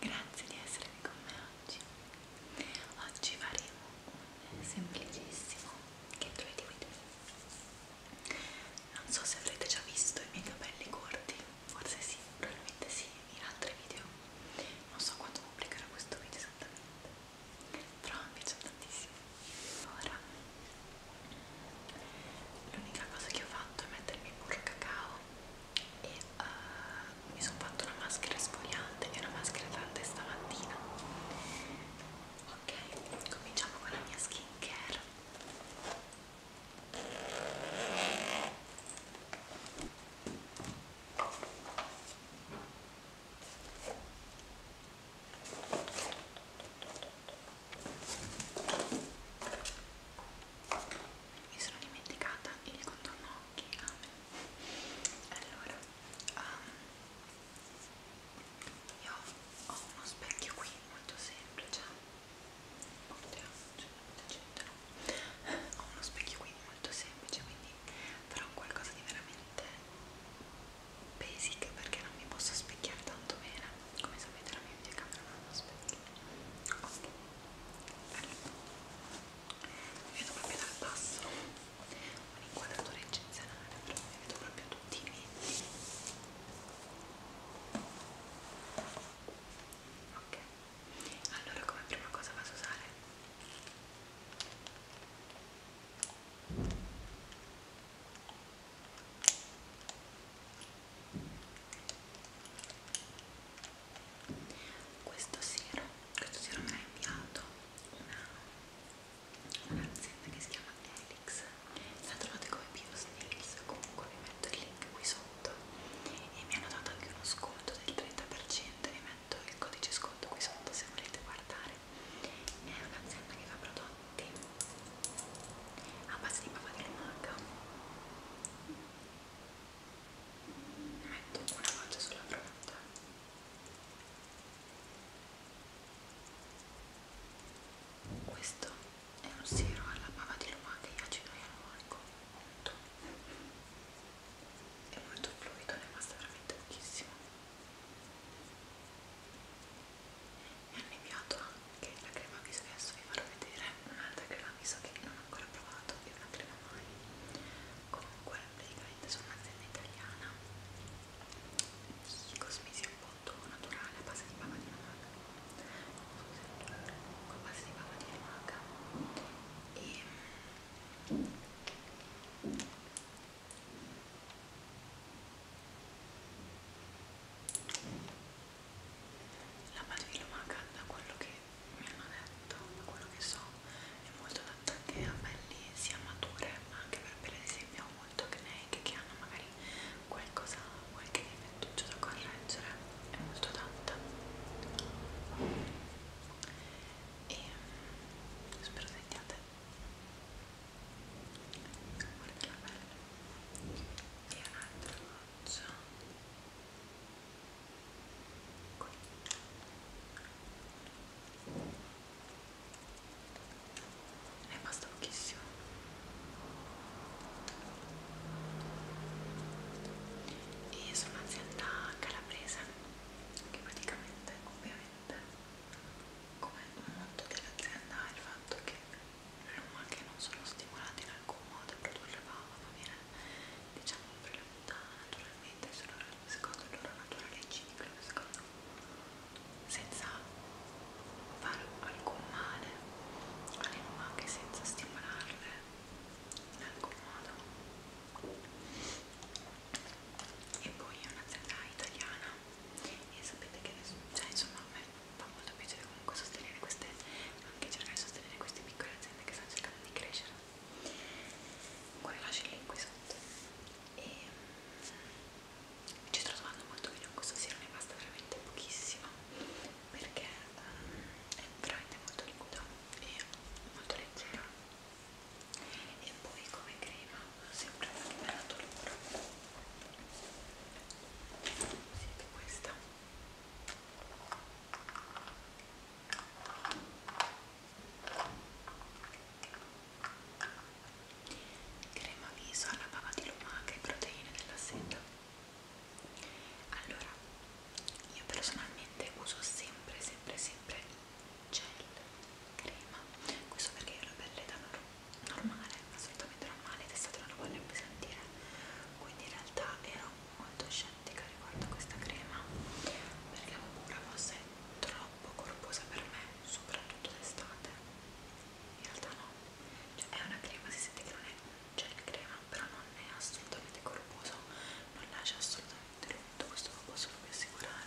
Grazie di essere qui con me oggi. Oggi faremo un semplicissimo get ready with me. Non so se avrete già visto i miei capelli corti, forse sì, probabilmente sì, in altri video. Non so quando pubblicherò questo video esattamente, però mi piace tantissimo. Ora, l'unica cosa che ho fatto è mettermi burro cacao e uh, mi sono fatto una maschera esfoliante e una maschera tante stamattina ok cominciamo con la mia skin care mi sono dimenticata il contorno ok, amen allora um, io ho uno specchio qui molto semplice cioè, ho uno specchio qui molto semplice quindi farò qualcosa di veramente basic perché non mi posso specchiare tanto bene come sapete la mia videocamera non ha uno specchio ok allora vedo proprio dal basso un'inquadratura eccezionale però mi vedo proprio tutti i miei ok allora come prima cosa vado a usare ok questo siero questo siero me l'ha inviato un'azienda una che si chiama Helix la trovate come BioSnails comunque vi metto il link qui sotto e mi hanno dato anche uno sconto del 30% vi metto il codice sconto qui sotto se volete guardare è un'azienda che fa prodotti a base di papà di lumaca metto una volta sulla fronte questo è un siro alla bava di lumache e acido ialuronico molto è molto fluido, ne basta veramente pochissimo mi hanno inviato anche la crema viso che adesso vi farò vedere un'altra crema viso che non ho ancora provato è una crema mai comunque praticamente sono un'azienda italiana di cosmesi appunto naturale a base di bava di amaca con base di bava mm, di amaca e la bava di amaca da quello che mi hanno detto, da quello che so, è molto adatta anche a pelli sia mature, ma anche per pelle ad esempio molto acneiche che hanno magari qualcosa, qualche difettuccio da correggere, è molto adatta. E mm, spero sentiate guarda che bella e un'altra goccia e qui ne basta pochissimo e sono un'azienda calabrese che praticamente ovviamente come molto dell'azienda è il fatto che non, che non sono stimolati in alcun modo a produrre bava ma viene diciamo per la fatta naturalmente solo secondo il loro naturale ciclo, secondo, senza fare alcun male alle ma anche senza stimolarle in alcun modo. E poi è un'azienda italiana e sapete che cioè, insomma a me fa molto piacere comunque sostenere queste, anche cercare di sostenere queste piccole aziende aziende che stanno cercando di crescere comunque vi lascio il link qui sotto e mm, ci sto trovando molto bene con questo siero ne basta veramente pochissimo perché um, è veramente molto liquido e molto leggero e poi come crema sempre anche bella dolore senti questa crema viso alla bava di lumaca e proteine della seta allora io personalmente uso sempre sempre sempre gel crema questo perché io ho la pelle da normale assolutamente normale ed è stata una voglia pesantire quindi in realtà era un molto scettica riguardo a questa crema perché avevo paura fosse troppo corposa per me, soprattutto d'estate. In realtà no, cioè è una crema, si sente che non è un gel crema, però non è assolutamente corposo, non lascia assolutamente l'umido, questo lo posso proprio assicurare.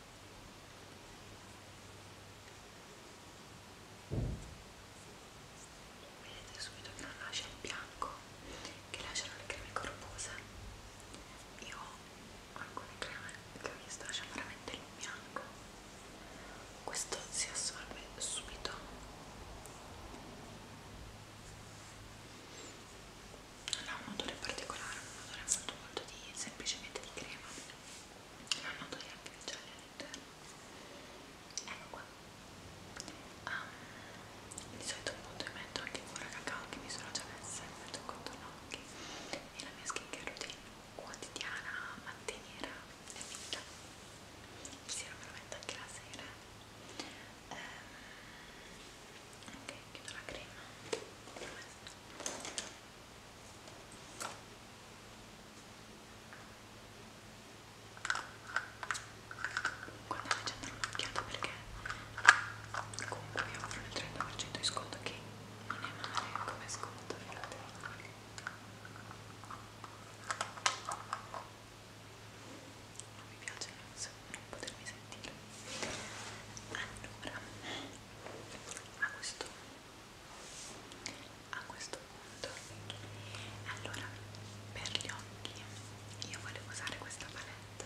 Vedete subito che non lascia il bianco, che lasciano le creme corpose. Io ho alcune creme che mi sto lasciando veramente il bianco. Questo si assorbe subito. Non ha un odore particolare, un odore molto molto di semplicemente di crema non ho togliere più il gel all'interno ecco qua um, di solito appunto mi metto anche cura cacao che mi sono già messa mi metto contorno occhi e la mia skincare routine quotidiana mattiniera è finita il siero me lo metto anche la sera um, ok chiudo la crema comunque andate a dare un'occhiata perché comunque vi offrono il 30% di sconto che non è male come sconto fate non mi piace non potermi sentire allora a questo a questo punto allora per gli occhi io volevo usare questa palette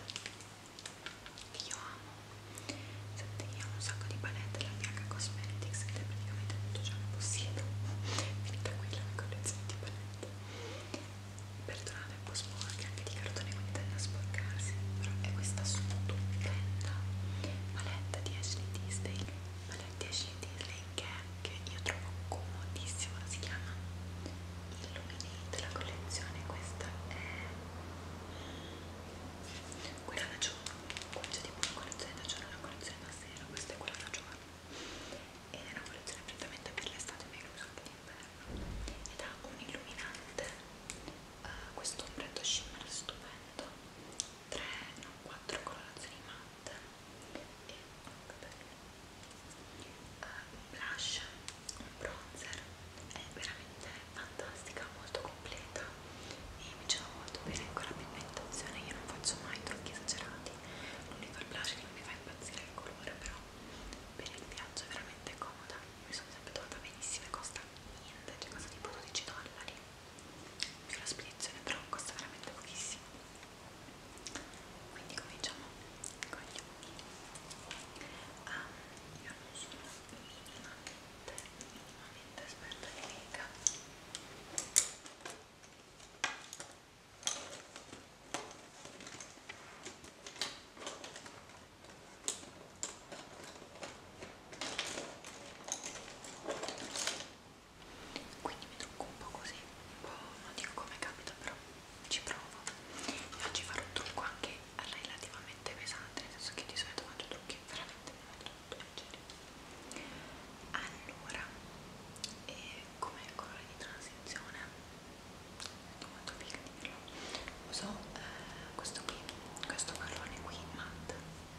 che io amo senti io ho un sacco di palette la BH Cosmetics ed è praticamente tutto ciò che possiedo finita qui la mia collezione di palette perdonate è un po' sporca anche di cartone quindi tende a sporcarsi però è questa stupenda Palette di Ashley Tisdale Palette di Ashley Tisdale che, che io trovo comodissima si chiama Illuminate la collezione questa è quella da giorno c'è tipo una collezione da giorno e una collezione da sera questa è quella da giorno ed è una collezione prettamente per l'estate meno che d'inverno ed ha un illuminante uh, questo ombretto shimmer stupendo tre, no, quattro colorazioni matte e un uh, blush, un bronzer, è veramente fantastica, molto completa e mi trova molto bene con la pigmentazione, io non faccio mai trucchi esagerati, l'unico il blush che non mi fa impazzire il colore però per il viaggio è veramente comoda, mi sono sempre trovata benissimo e costa niente, cioè costa tipo 12 dollari sulla spedizione però costa veramente pochissimo quindi cominciamo con gli occhi ah, io non sono minimamente minimamente esperta di make up quindi mi trucco un po' così un po' non dico come capita però ci provo e oggi farò un trucco anche relativamente pesante nel senso che di solito faccio trucchi veramente molto molto leggeri allora e come colore di transizione molto figa dirlo uso eh, questo qui questo marrone qui matte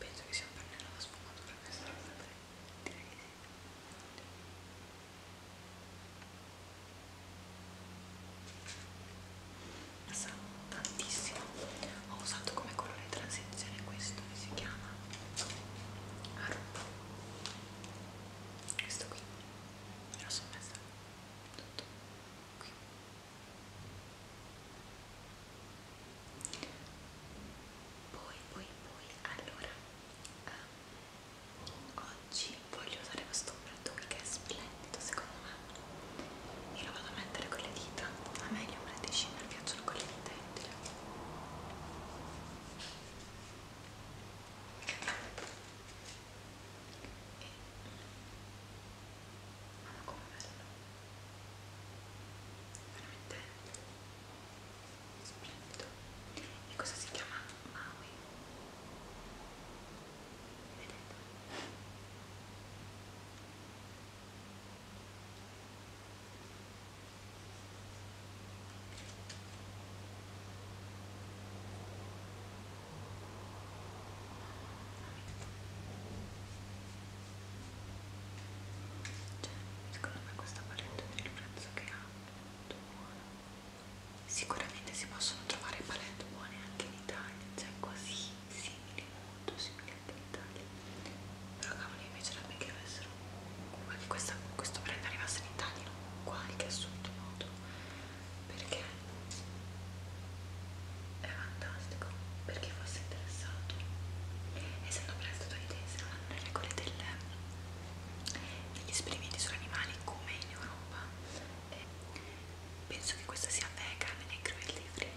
Penso che sia un pennello da sfumatura questo, direi di sì. Assaggiamo tantissimo ho usato come colore transizione questo che si chiama Aruba questo qui me lo sono messa tutto qui poi poi poi allora um, oggi voglio usare questo ombretto qui che è splendido secondo me io vado a mettere con le dita a me gli ombretti shimmer piacciono con le dita è inutile e... mamma come bello veramente splendido e cosa si chiama Maui vedete cioè, secondo me questa palette per il prezzo che ha è molto buona. Sicuramente si possono trovare palette buone anche in Italia, cioè quasi simili, molto simili dell'Italia però cavolo mi piacerebbe che avessero che questa, questo brand arrivasse in Italia in qualche assurdo modo perché è fantastico per chi fosse interessato essendo brand statunitense non hanno le regole delle, degli esperimenti sugli animali come in Europa e eh, penso che questa sia vegan e cruelty free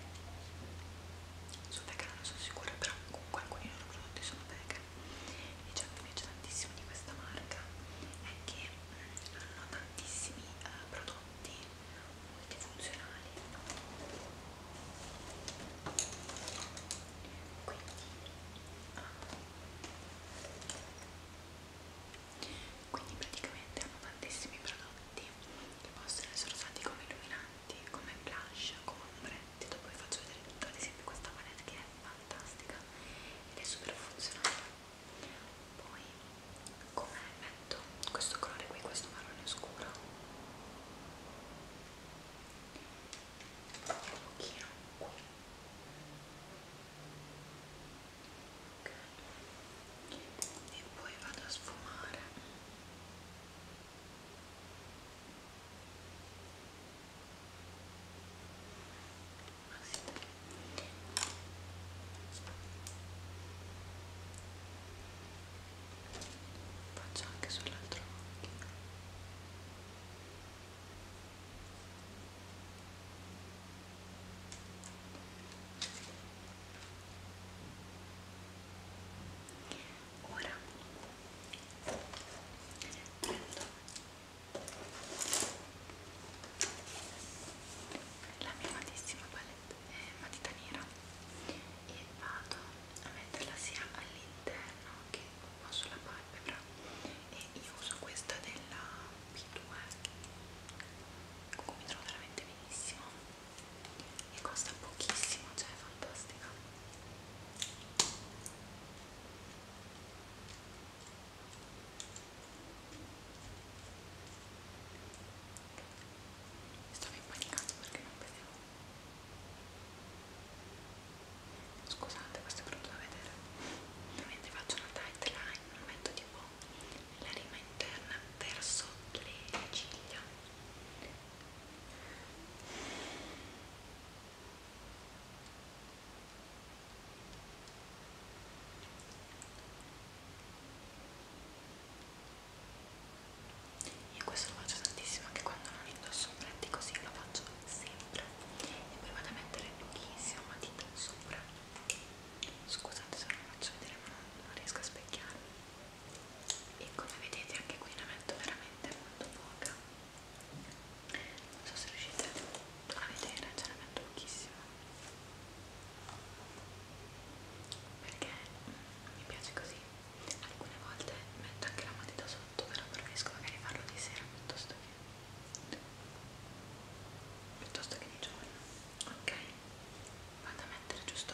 sono vegana non sono sicura però comunque alcuni loro prodotti sono vegan e ciò che mi piace tantissimo di questa marca è che mm, hanno tantissimi eh, prodotti multifunzionali quindi ah, quindi praticamente hanno tantissimi prodotti che possono essere usati come illuminanti paletti come blush, come ombretti dopo vi faccio vedere tutto, ad esempio questa palette che è fantastica ed è super funzionale poi come metto questo colore qui, questo marrone scuro un pochino qui okay. e poi vado a sfumare faccio anche sull'altro occhio Ora prendo la mia amatissima palette, eh, matita nera e vado a metterla sia all'interno che un po' sulla palpebra e io uso questa della P2 con cui mi trovo veramente benissimo e costa pochissimo, cioè è fantastica stavo impanicando perché non vedevo scusate questo è brutto da vedere ovviamente faccio una tight line metto tipo la rima interna verso le ciglia io questo lo faccio tantissimo anche quando non indosso un prete così lo faccio sempre e poi vado a mettere pochissima matita sopra scusate se non lo faccio vedere ma non, non riesco a specchiarmi e come vedete anche qui ne metto veramente molto poca non so se riuscite a vedere ce ne metto pochissima perché mi piace così alcune volte metto anche la matita sotto però preferisco magari farlo di sera piuttosto che piuttosto che di giorno ok vado a mettere giusto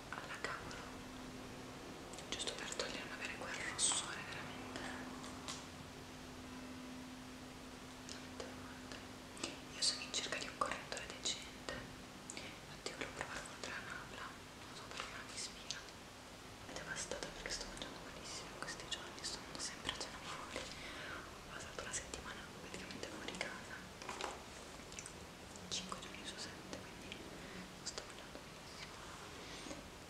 alla cavolo giusto per togliere non avere quel rossore veramente veramente forte io sono in cerca di un correttore decente infatti volevo provare con Tranabla non so perché non mi ispira è devastata perché sto mangiando malissimo in questi giorni sono sempre a cena fuori ho passato una settimana praticamente fuori casa 5 giorni su 7 quindi non sto parlando benissimo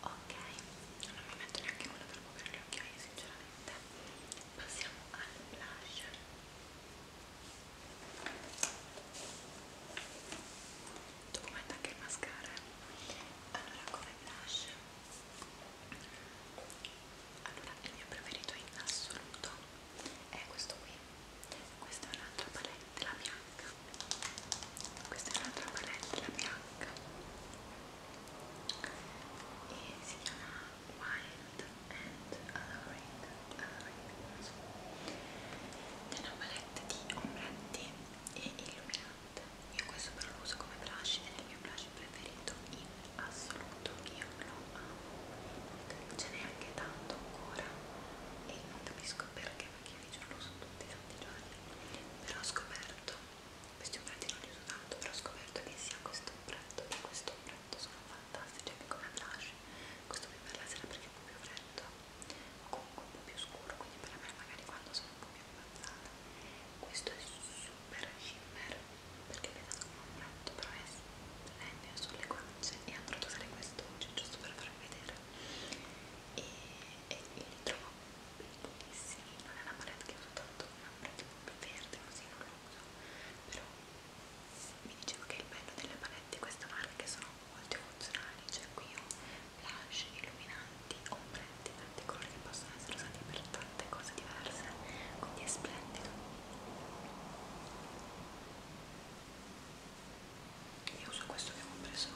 ok non mi metto neanche quello per coprire le occhiaie sinceramente passiamo al blush documenta anche il mascara allora come blush allora il mio preferito in assoluto è questo qui questa è un'altra palette la bianca questa è un'altra palette la bianca e si chiama Wild and Alluring è una palette di ombretti e illuminante io questo però lo uso come blush ed è il mio blush preferito in assoluto io lo ce n'è anche tanto ancora e non capisco perché perché io di giorno uso tutti i tanti giorni però ho scoperto questi ombretti non li uso tanto però ho scoperto che sia questo ombretto e questo ombretto sono fantastici anche come blush questo qui per la sera perché è un po' più freddo o comunque un po' più scuro quindi per me magari quando sono un po' più abbazzata questo è super shimmer perché è pensato come un ombretto però è legno sulle guance e andrò ad usare questo oggi giusto per farvi vedere e, e li trovo bellissimi non è una palette che uso tanto una palette più verde così non lo uso però vi dicevo che il bello delle palette di questa marca che sono molto funzionali cioè qui ho blush, illuminanti, ombretti, tanti colori che possono essere usati per tante cose diverse quindi è splendido io uso questo che ho preso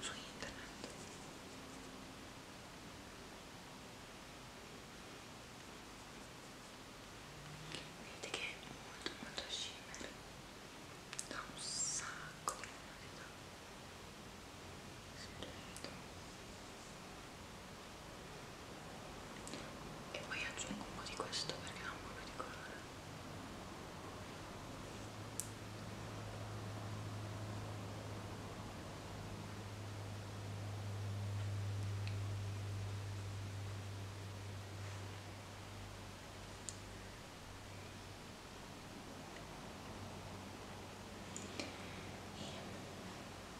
su internet vedete che è molto molto shimmer da un sacco di modalità si vedo e poi aggiungo un po' di questo perché ha un po' di colore e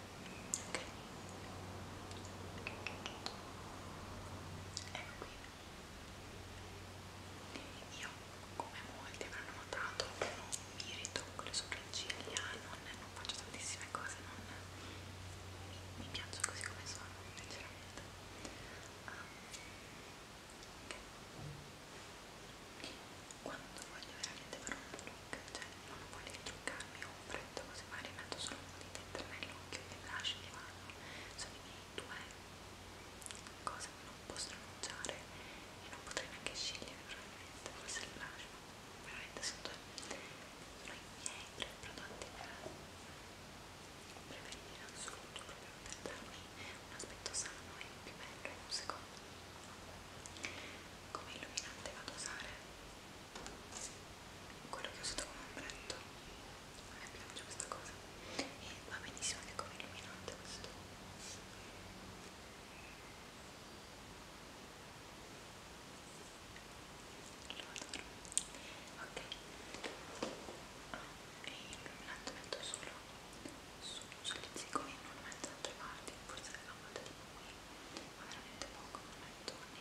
okay. ecco qui io come molti avranno notato non mi ritocco le sopracciglia non, non faccio tantissime cose non mi, mi piaccio così come sono sinceramente um, okay. quando voglio veramente fare un look cioè non voglio truccarmi o freddo così ma rimetto solo un po' di tentennello che mi lascio di mano sono i miei due cose che non posso annunciare e non potrei neanche scegliere probabilmente forse il blush veramente sono due sono i miei tre prodotti per preferire in assoluto proprio per darmi un aspetto sano e più bello e un secondo come illuminante vado a usare quello che ho usato come ombretto a me piace questa cosa e va benissimo anche come illuminante questo lo adoro ok ah, e illuminante metto solo su sugli zigomi non lo metto da altre parti forse a volte tipo qui ma veramente poco non metto nei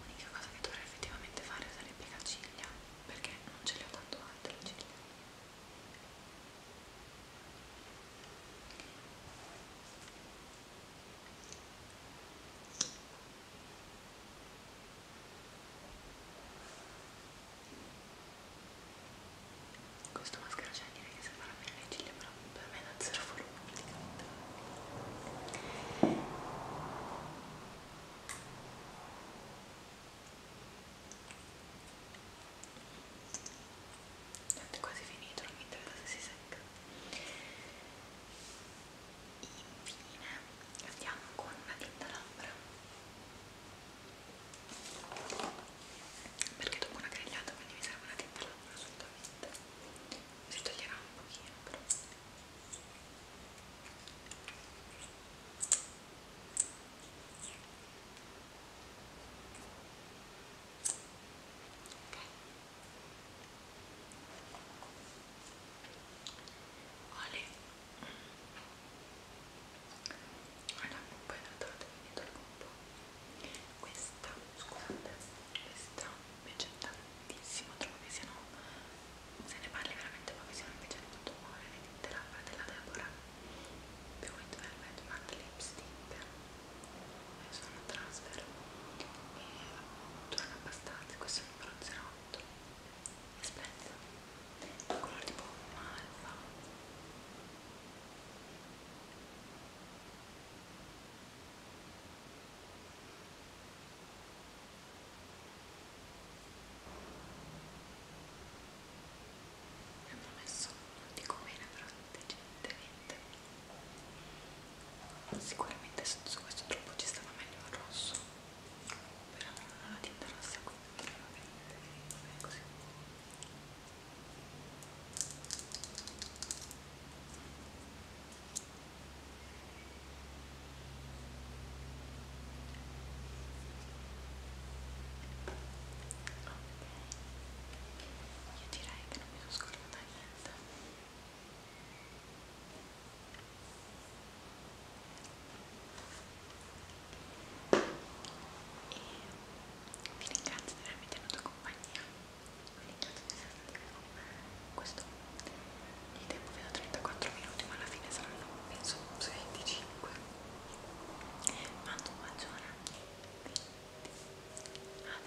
L'unica cosa che dovrei effettivamente fare sarebbe la ciglia, perché non ce le ho tanto alte le ciglia. Questo maschera c'è direi che separa bene le ciglia, però per me da zero volume praticamente. Tanto è quasi finito, non mi interessa se si secca. Infine andiamo con una tinta labbra. Perché dopo una grigliata quindi mi serve una tinta labbra assolutamente. Si toglierà un pochino però. Oli mm. allora poi notatevi dietro un po' questa, scusate, questa invece è tanto tantissimo, trovo che siano, se ne parli veramente poco, siano invece di tutto buone le tinte labbra della Deborah più It Velvet Matte Lipstick e sono transfer e durano abbastanza, questo è il numero 08 è splendido, è un colore tipo malva mi hanno messo non dico bene però decentemente sicuramente su questo troppo ci stava meglio il rosso però non la tinta rossa come va così io direi che non mi sono scordata niente e vi ringrazio di avermi tenuto compagnia vi ringrazio di avermi tenuto questo il tempo fino a 34 minuti ma alla fine saranno penso 25 mando un bacione quindi adesso è il momento di Avanzare.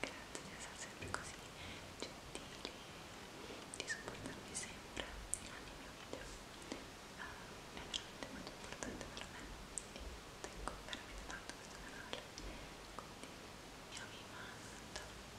Grazie di essere sempre così gentili, di supportarmi sempre ogni mio video. Uh, è veramente molto importante per me e tengo veramente tanto questo canale. Quindi io vi mando